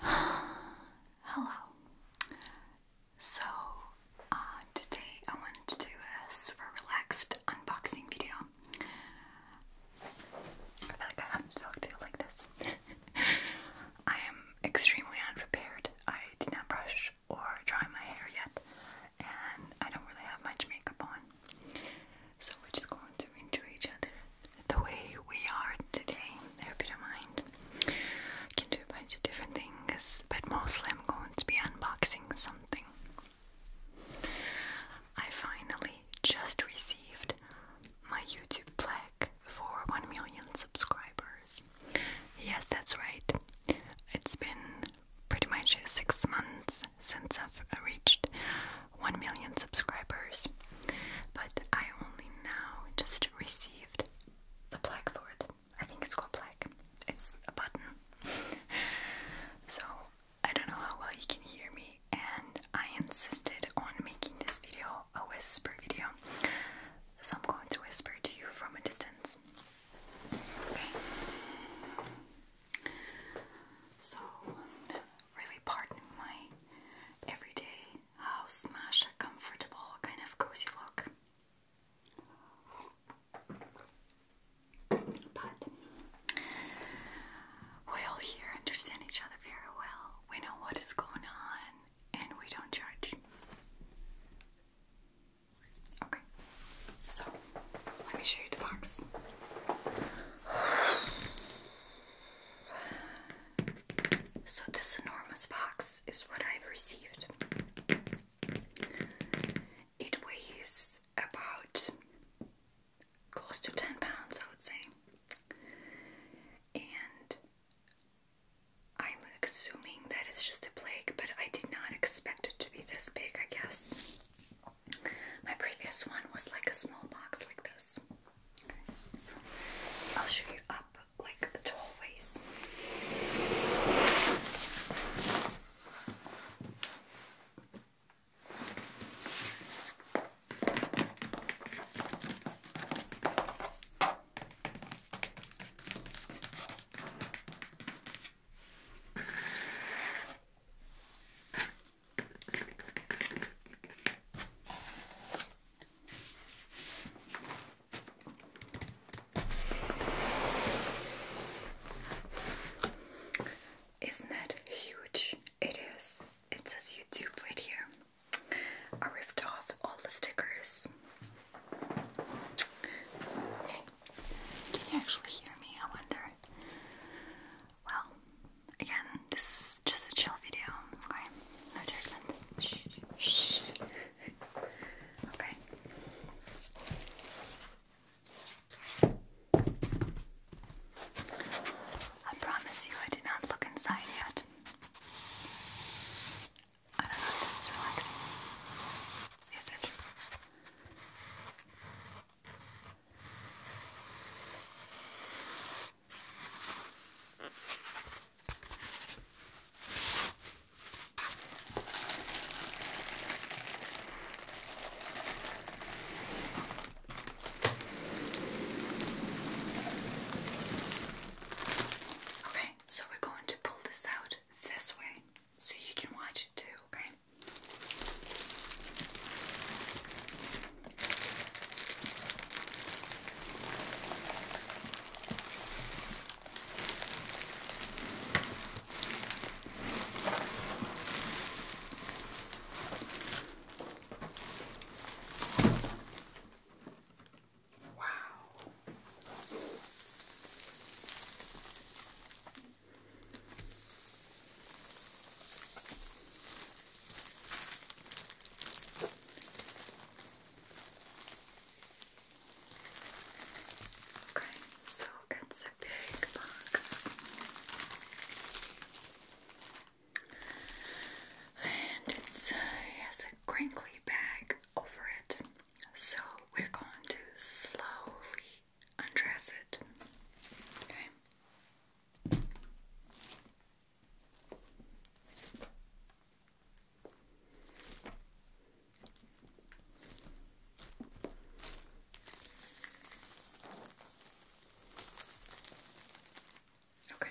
Hello. So, uh, today I wanted to do a super relaxed unboxing video. I feel like I have to talk to you like this. I am extremely unprepared. I did not brush or dry my hair yet, and I don't really have much makeup on. So we're just going to enjoy each other the way we are today. I hope you don't mind. I can do a bunch of different things, but mostly I'm going to be unboxing something. I finally just received my YouTube plaque for 1 million subscribers. Yes, that's right. It's been pretty much six months since I've reached 1 million subscribers, but I only now just received the plaque for it. I think it's called plaque. It's a button. so I don't know how well you can hear me, and I insisted on making this video a whisper video. So I'm going to whisper to you from a distance. Okay. So really pardon my everyday house comfortable kind of cozy look. But we all here understand each other very well. We know what is going on and we don't judge. Okay, so let me show you the box. So, this enormous box is what I've received. It weighs about close to 10 pounds, I would say. And I'm assuming that it's just a plague, but I did not expect it to be this big, I guess. My previous one was like a small box like this. so I'll show you up like the hallways. Isn't that huge? It is. It says YouTube right here. I ripped off all the stickers. Okay. Can you actually hear me? I wonder. Well, again, this is just a chill video, okay? No judgment. okay. I promise you, I did not look inside yet. I don't know this is relaxing. Is it? Okay, so we're going to pull this out this way so you can watch it too, okay? Wow. Okay, so it's a big box. And uh, it has a crinkly bag over it. So we're going to slowly undress it. Okay. Okay.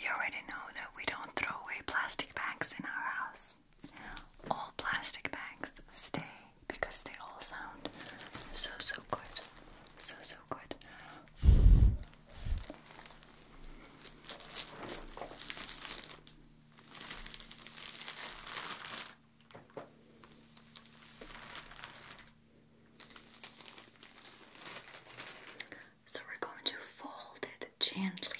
You already know that we don't throw away plastic bags in our house. All plastic bags stay because they all sound so so good. So so good. So we're going to fold it gently.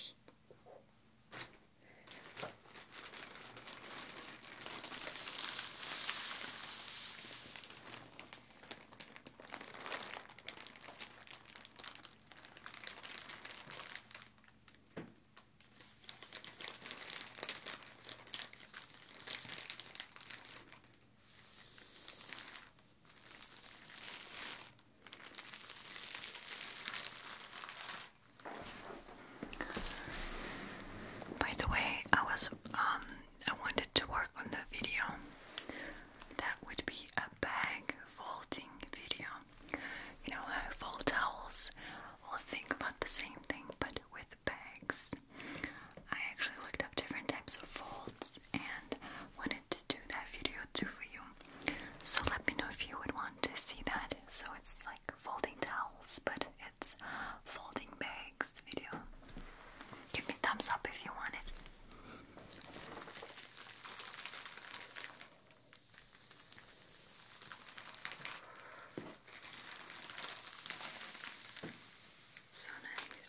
By the way, I was um I wanted to work on the video. That would be a bag folding video. You know how I fold towels will think about the same thing but with bags. I actually looked up different types of folds and when to do that video too for you. So let me know if you would want to see that. So it's like folding towels, but it's folding bags video. Give me thumbs up if you want it. So nice.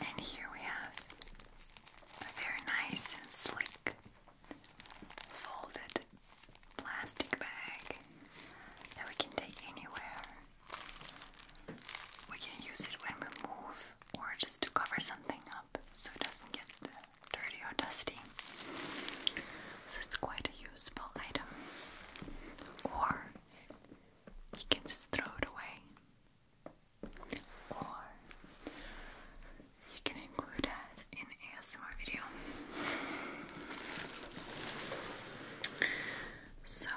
And here we have a very nice and sleek folded plastic bag that we can take anywhere. We can use it when we move or just to cover something up so it doesn't get dirty or dusty. So it's quite a usable item. Or you can just throw it away. Or you can include that in ASMR video. So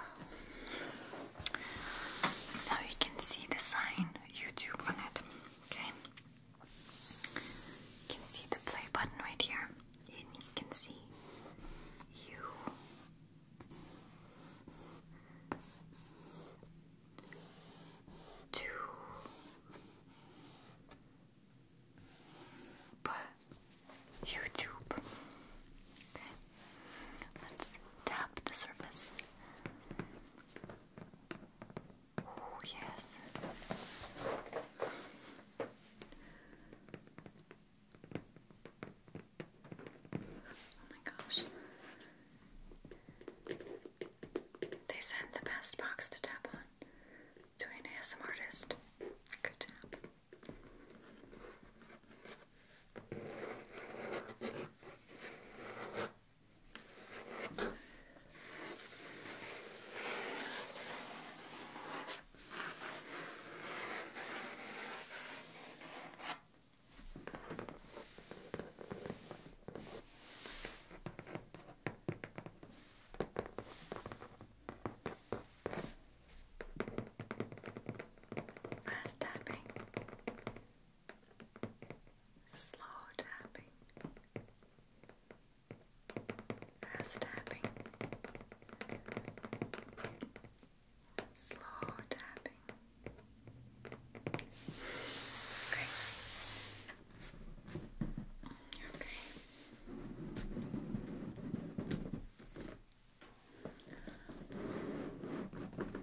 now you can see the sign YouTube on it. Okay, you can see the play button right here, and you can see you to YouTube. Okay, let's tap the surface. Oh, yes. Oh my gosh. They sent the best box to tap on to an ASM artist. Good Fast tapping slow tapping, fast tapping, slow tapping. Okay. Okay. Okay.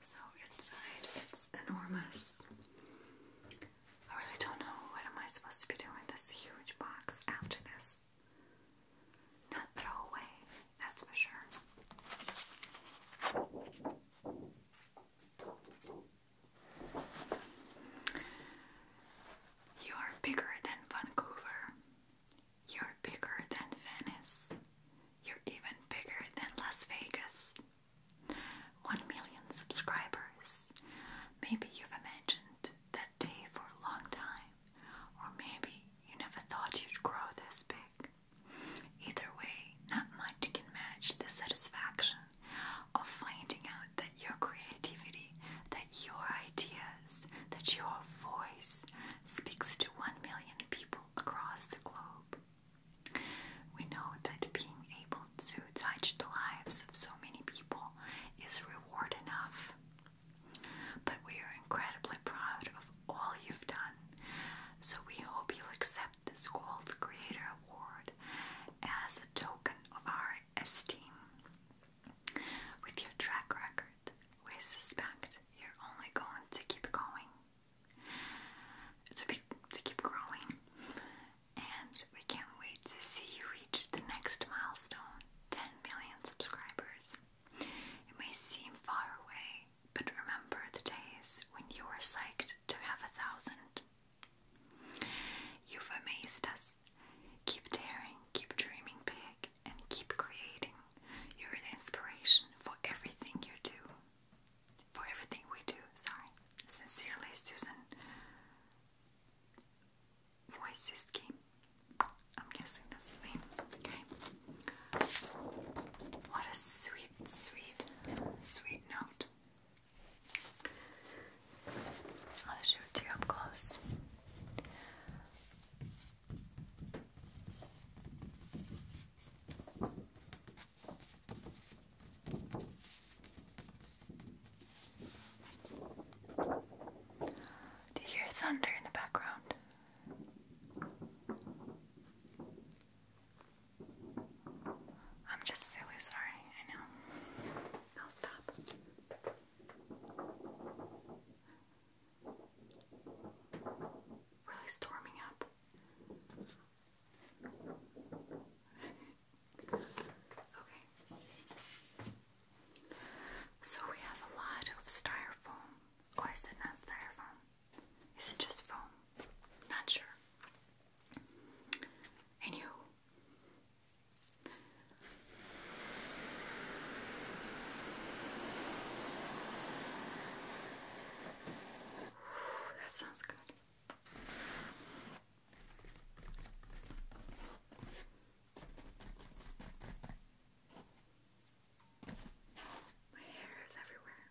So inside it's enormous. I really don't know what am I supposed to be doing with this huge box after this. Not throw away, that's for sure. You are bigger than Vancouver. You're bigger than Venice. You're even bigger than Las Vegas. One million subscribers. Maybe you've imagined that day for a long time, or maybe you never thought you'd grow this big. Either way, not much can match the satisfaction of finding out that your creativity, that your ideas, that your voice speaks to one million people across the globe. We know that being able to touch the lives of so many people is reward enough. But we are incredibly proud of all you've done. So we hope you'll accept this Gold Creator Award as a token of our esteem. With your track record, we suspect you're only going to keep going, to, be, to keep growing, and we can't wait to see you reach the next milestone 10 million subscribers. It may seem far away, but remember the days when you were psyched to have a thousand. You've amazed us Keep daring, keep dreaming big, and keep creating. You're the inspiration for everything you do. For everything we do, sorry. Sincerely, Susan. Wojcicki. I'm guessing the name. Okay. What a sweet, sweet, sweet note. I'll show it to you up close. Do you hear thunder in the background? I'm just silly, sorry, I know. I'll stop. Really storming up. okay. So we have a lot of styrofoam. Or is it not styrofoam? Is it just foam? Not sure. Anywho, that sounds good. My hair is everywhere.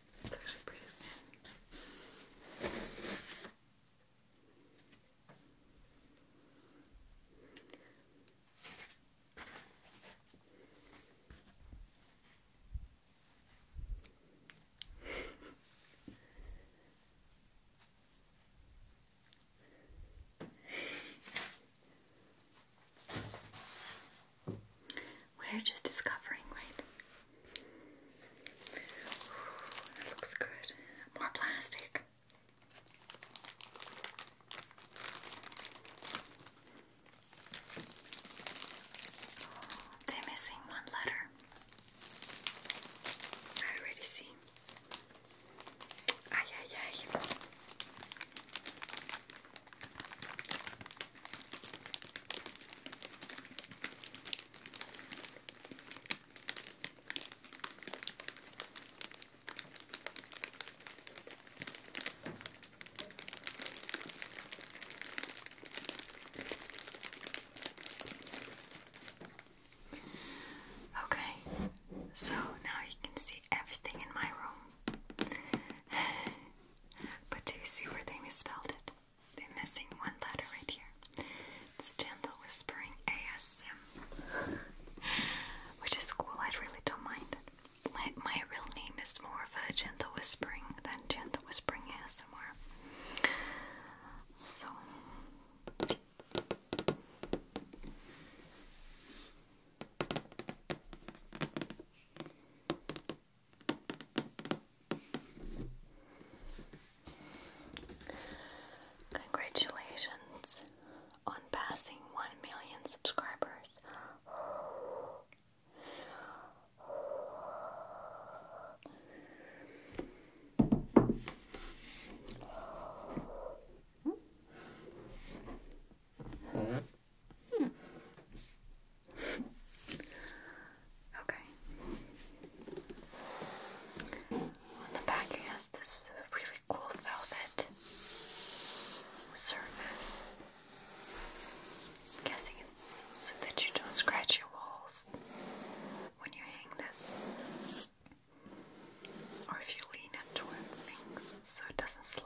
It's actually we're just discovering, right? Ooh, looks good. More plastic. Oh, they're missing one letter. I already see. Ay, ay, Okay, so now you can see everything in my room. But do you see where they misspelled it? They're missing one letter right here. It's gentle whispering ASM, which is cool. I really don't mind My, my real name is more of a gentle whispering than gentle whispering ASMR. So. Congratulations on passing 1 million subscribers. Hmm. Okay. the back, has this really cool velvet surface. I'm guessing it's so that you don't scratch your walls when you hang this, or if you lean it towards things so it doesn't slide.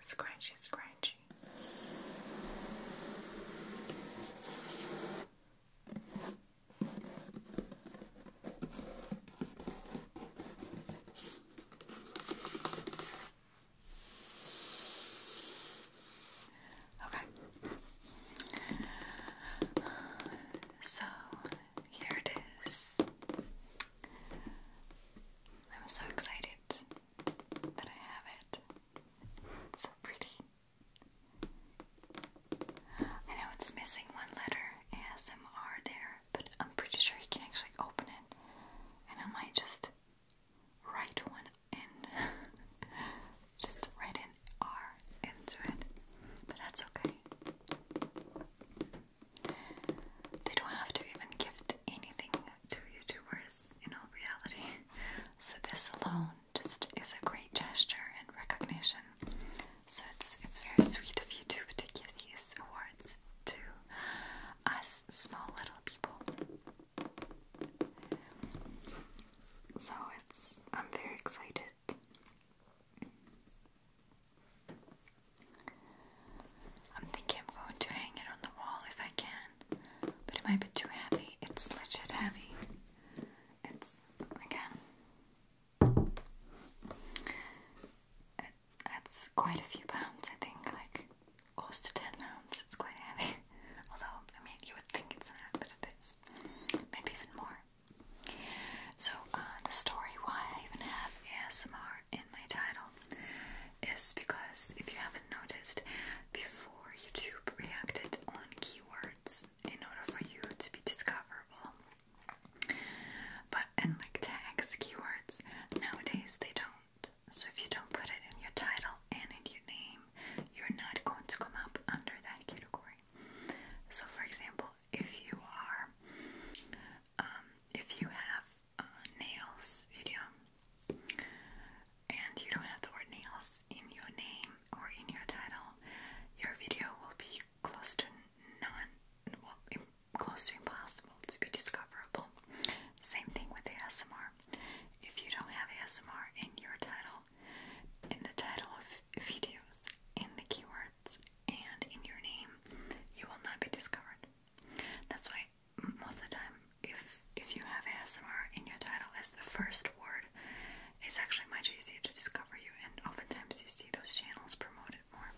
Scratchy, scratchy. Okay. So here it is. I'm so excited that I have it. so pretty. I know it's missing one letter, ASMR, there, but I'm pretty sure you can actually open it. And I might just write one in. just write an R into it. But that's okay. They don't have to even gift anything to YouTubers in all reality. So this alone just is a great gesture and recognition. So it's it's very sweet of YouTube to give these awards to us small little people. So it's I'm very excited. I'm thinking I'm going to hang it on the wall if I can, but it might be too heavy. It's legit heavy. It's again, it's quite a few pounds. I think like close to ten pounds. It's quite heavy. Although I mean, you would think it's not, but it is. Maybe even more. So uh, the story why I even have ASMR in my title is because if you haven't noticed, before YouTube reacted on keywords in order for you to be discoverable. But and like tags, keywords, nowadays they don't. So if you don't put it in your title and in your name, you're not going to come up under that category. So for example, if you are um, if you have nails video. And you don't have the word nails in your name or in your title. Your video will be close to none, well, close to impossible to be discoverable. Same thing with the ASMR. If you don't have ASMR in your title, in the title of videos, in the keywords, and in your name, you will not be discovered. That's why most of the time, if if you have ASMR in your title as the first word, it's actually much easier to discover you, and oftentimes you see those channels promoted more.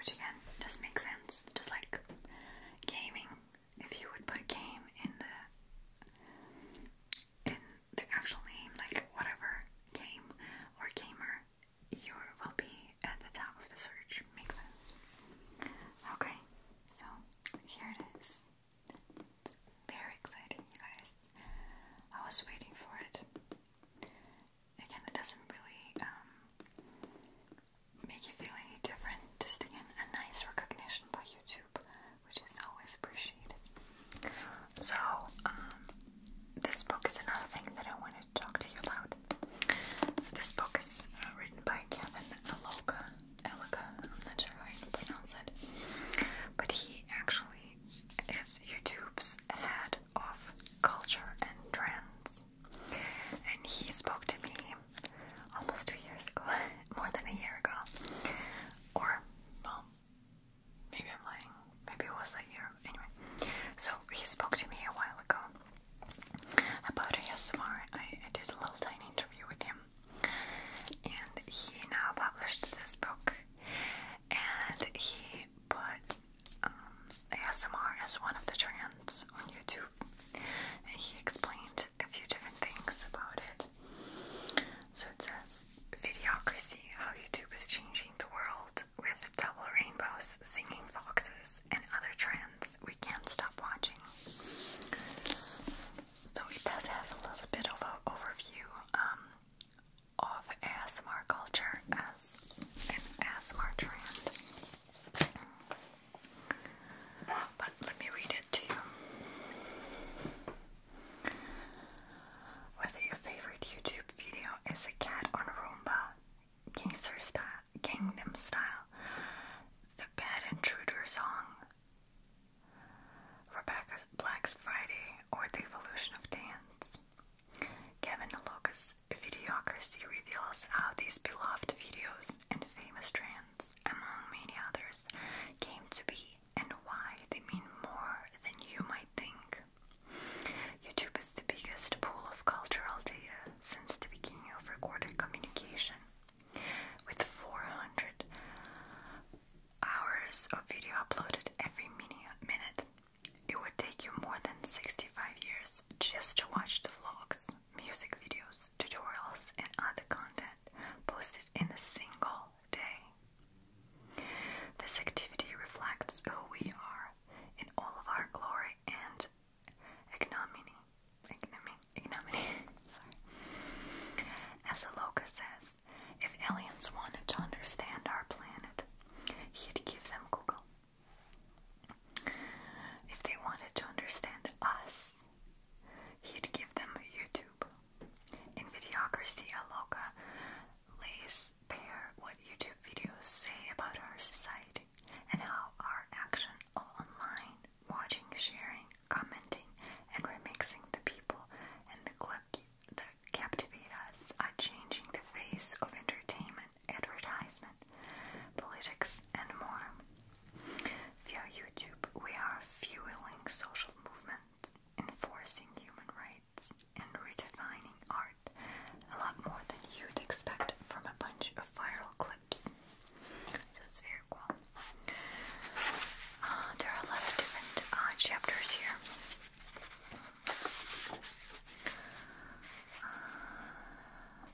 Which again just makes sense, just like gaming. If you would put game in the the actual name, like whatever game or gamer, you will be at the top of the search. Makes sense. Okay, so here it is. very exciting, you guys. I was waiting for it. Again, it doesn't really um, make you feel any different. Just again, a nice recognition by YouTube which is always appreciated. So, um, this book is another thing that I wanted to talk to you about. So, this book is uh, written by Kevin Eloka. I'm not sure how you pronounce it, but he actually is YouTube's head of culture and trends. And he spoke to me almost two years ago more than a year ago. Or, well, maybe I'm lying. Maybe it was a year. Anyway, so he spoke to me a while ago about ASMR. I, did a little tiny interview with him. And he now published this book. And he put um, ASMR as one of the trends on YouTube. And he explained a few different things about it. So it says Videocracy How YouTube is Changing the World with Double Rainbows, Singing Foxes, and Other Trends We Can't Stop Watching. So it does have a little bit of an overview um, of ASMR culture as an ASMR trend. But let me read to you. Whether your favorite YouTube video is a cat on a Roomba, Gangnam style, the Bad Intruder song, Rebecca Black's Friday, or the evolution of dance, Kevin Loca's videocracy reveals how these beloved videos and famous trends, among many others, came to be and why they mean more than you might think. YouTube is the biggest pool of cultural data since the beginning of recorded communication, with 400 hours of video uploaded every minute. It would take you more than 65 years just to watch the vlogs, music videos, tutorials, and other content posted in a single day. This activity reflects who we are in all of our glory and ignominy. Ignominy. ignominy sorry. As Aloka says, if aliens wanted to understand our planet, he'd give them Google. If they wanted to understand us, he'd give them YouTube. YouTube. In Videocracy, local lays bare what YouTube videos say about our society and how our action all online, watching, sharing, commenting, and remixing the people and the clips that captivate us are changing the face of entertainment, advertisement, politics, and more. Via YouTube, we are fueling social movements, enforcing human rights, and redefining art a lot more than you'd expect from a bunch of viral clips. So it's very cool. Uh, there are a lot of different uh, chapters here. Uh,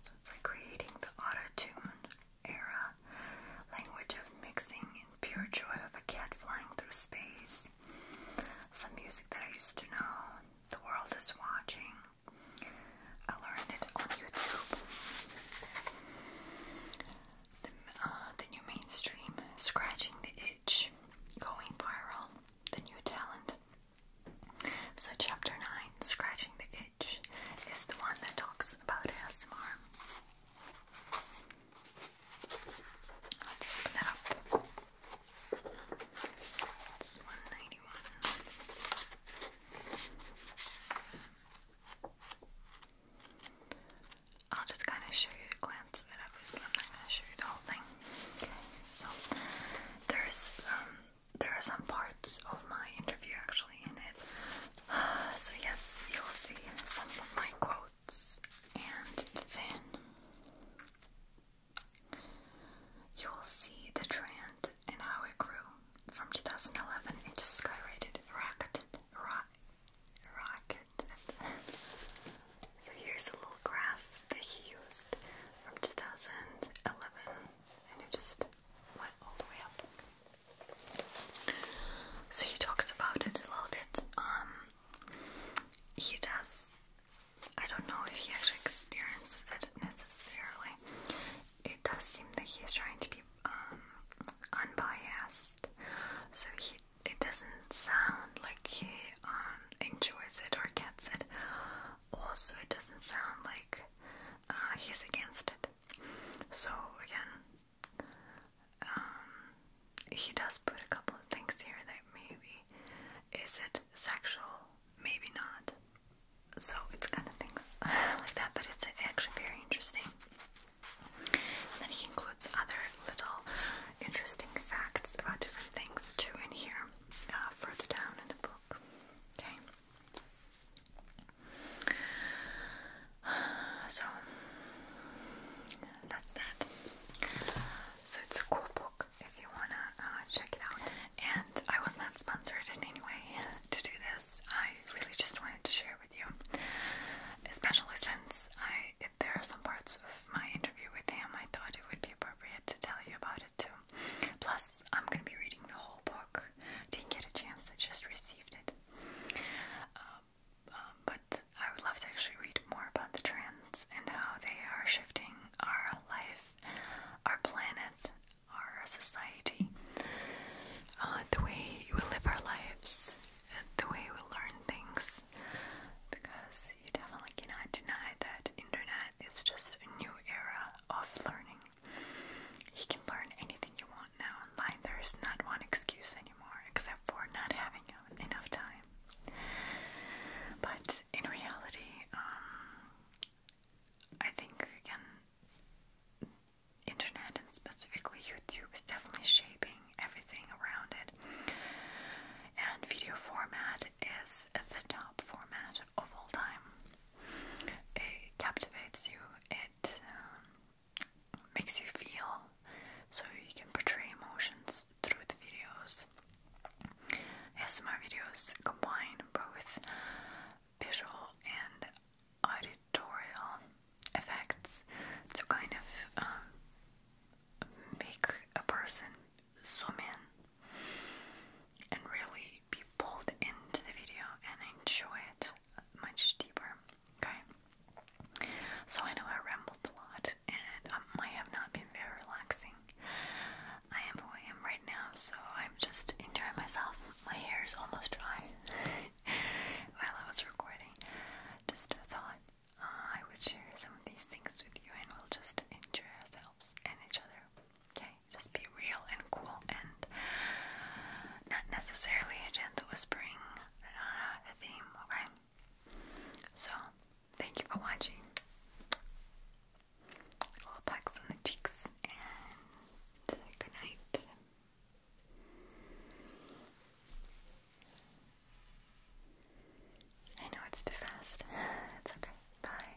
so it's like creating the auto tune era, language of mixing and pure joy of a cat flying through space, some music that I used to know, the world is watching. I learned it on YouTube. The, uh, new mainstream, scratching the itch, going viral, the new talent. So, chapter 9, Scratching the Itch, is the one that talks about ASMR. Let's open it up. It's 191. I'll just kind of show you a glance of it. Obviously, I'm not going to show you the whole thing. so there's um, there are some parts of my interview actually in it So, yes, you'll see some of my quotes, and then you'll see the trend and how it grew from 2011. It just skyrocketed, rocketed, ro rocketed. so, here's a little graph that he used from 2011, and it just went all the way up. So he talks about it a little bit. Um, he does. I don't know if he actually experiences it necessarily. It does seem that he is trying to be um, unbiased, so he it doesn't sound like he um, enjoys it or gets it. Also, it doesn't sound like uh, he's against it. So again, um, he does put a couple of things here that maybe is it sexual, maybe not. So it's kind of things like that, but it's actually very interesting. And then he includes other little interesting facts about different things too in here, uh, further down in the book. Okay. So that's that. So it's a cool book if you wanna uh, check it out. And I was not sponsored in any way to do this. I really just wanted to share with you, especially since I there are some parts of my interview with him I thought it would be appropriate to tell you about it too. Plus, I'm gonna be reading the whole book didn't get a chance, I just received it. Um, um, but I would love to actually read more about the trends and how they are shifting our life, our planet, our society, uh, the way we live our lives, the way we learn things. Because you definitely cannot deny that internet is just a new era of learning. You can learn anything you want now online. There's not one excuse anymore except for not having enough time. But in reality, um, I think again, internet and specifically YouTube is definitely shaping everything around it. And video format is the top format of all time. It captivates you, it um, makes you feel, so you can portray emotions through the videos. As my videos combine both visual and auditorial effects to kind of um, make a person swim in and really be pulled into the video and enjoy it much deeper. Okay? So I know I rambled a lot and I have not been very relaxing. I am who I am right now, so I'm just enjoying myself. My hair is almost dry while I was recording. Just thought. Uh, I would share some of these things with you and we'll just enjoy ourselves and each other. Okay? Just be real and cool and not necessarily a gentle whispering uh, theme, okay? So, thank you for watching. Little pecks on the cheeks and good night. I know it's too fast. It's okay. Bye.